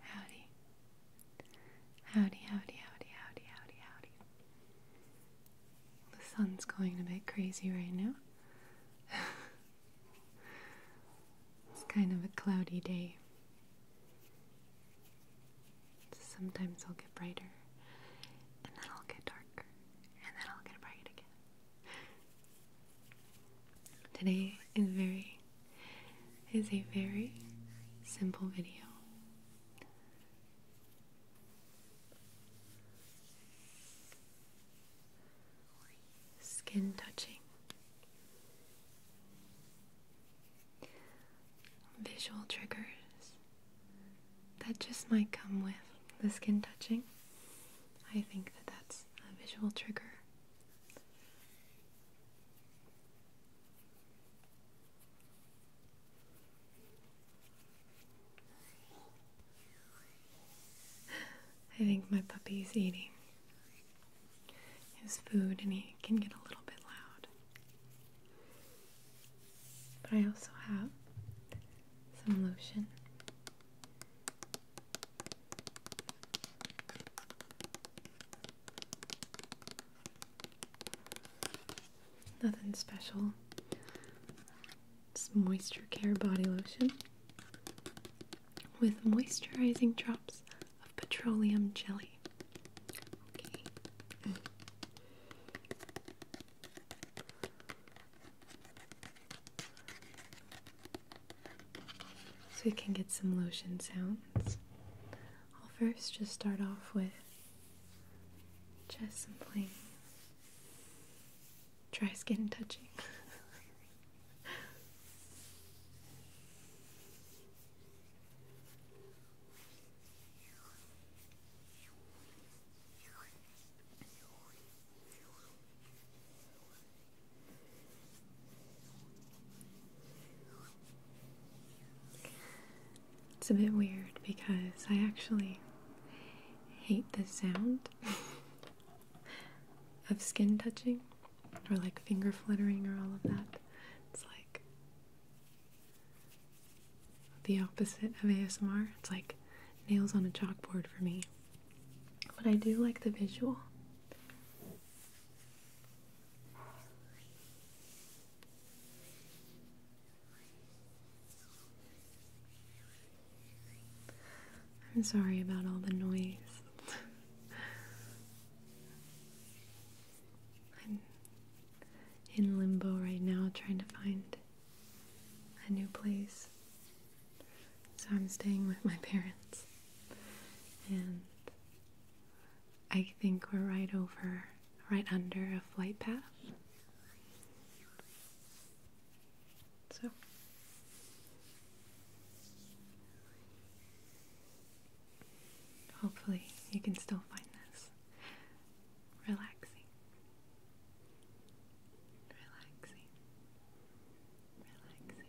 Howdy. Howdy, howdy, howdy, howdy, howdy, The sun's going a bit crazy right now. It's kind of a cloudy day. Sometimes I'll get brighter, and then I'll get darker, and then I'll get bright again. Today is very is a very simple video. Skin touching Visual triggers that just might come with the skin touching. I think that that's a visual trigger. I think my puppy is eating his food and he can get a little bit loud. But I also have some lotion. Nothing special. It's moisture care body lotion with moisturizing drops of petroleum jelly. So we can get some lotion sounds. I'll first just start off with just some plain dry skin touching. It's a bit weird because I actually hate the sound of skin touching or like finger fluttering or all of that. It's like the opposite of ASMR. It's like nails on a chalkboard for me. But I do like the visual. I'm sorry about all the noise. I'm in limbo right now trying to find a new place. So I'm staying with my parents. And I think we're right over, right under a flight path. So hopefully you can still find this relaxing. Relaxing. Relaxing. Relaxing. Relaxing.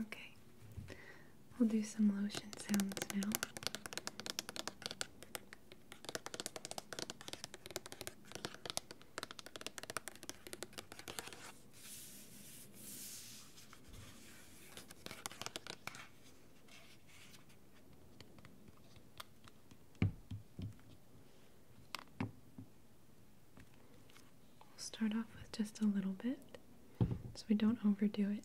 Okay, we'll do some lotion sounds now. We'll start off with just a little bit so we don't overdo it.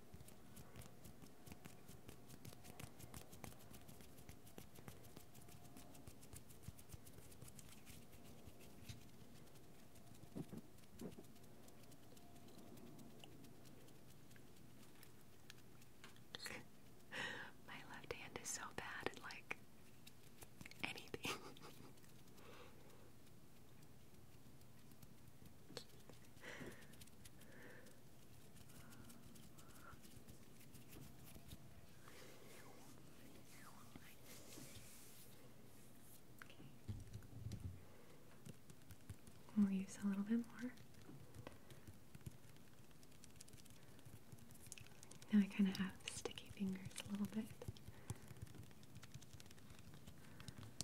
My left hand is so bad at like anything. We'll use a little bit more. Now I kind of have sticky fingers a little bit.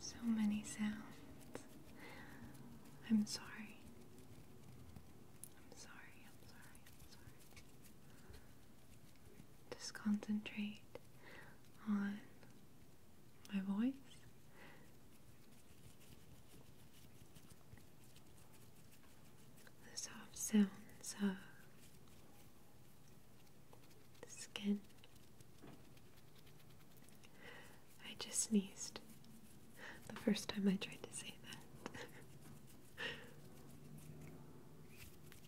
So many sounds. I'm sorry. I'm sorry, I'm sorry, I'm sorry. Just concentrate on my voice. The soft sounds of the skin. I just sneezed the first time I tried to say that.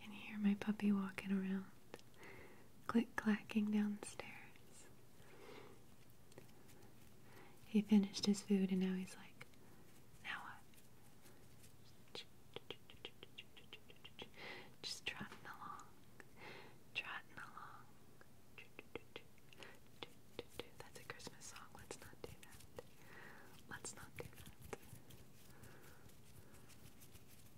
Can you hear my puppy walking around, click clacking downstairs. He finished his food and now he's like, now what? Just trotting along, trotting along. That's a Christmas song. Let's not do that. Let's not do that.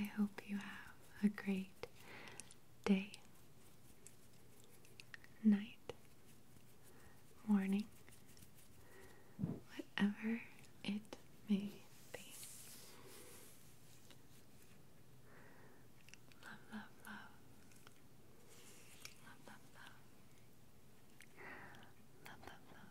I hope you have a great day night, morning, whatever it may be. Love, love, love. Love, love, love. Love, love, love.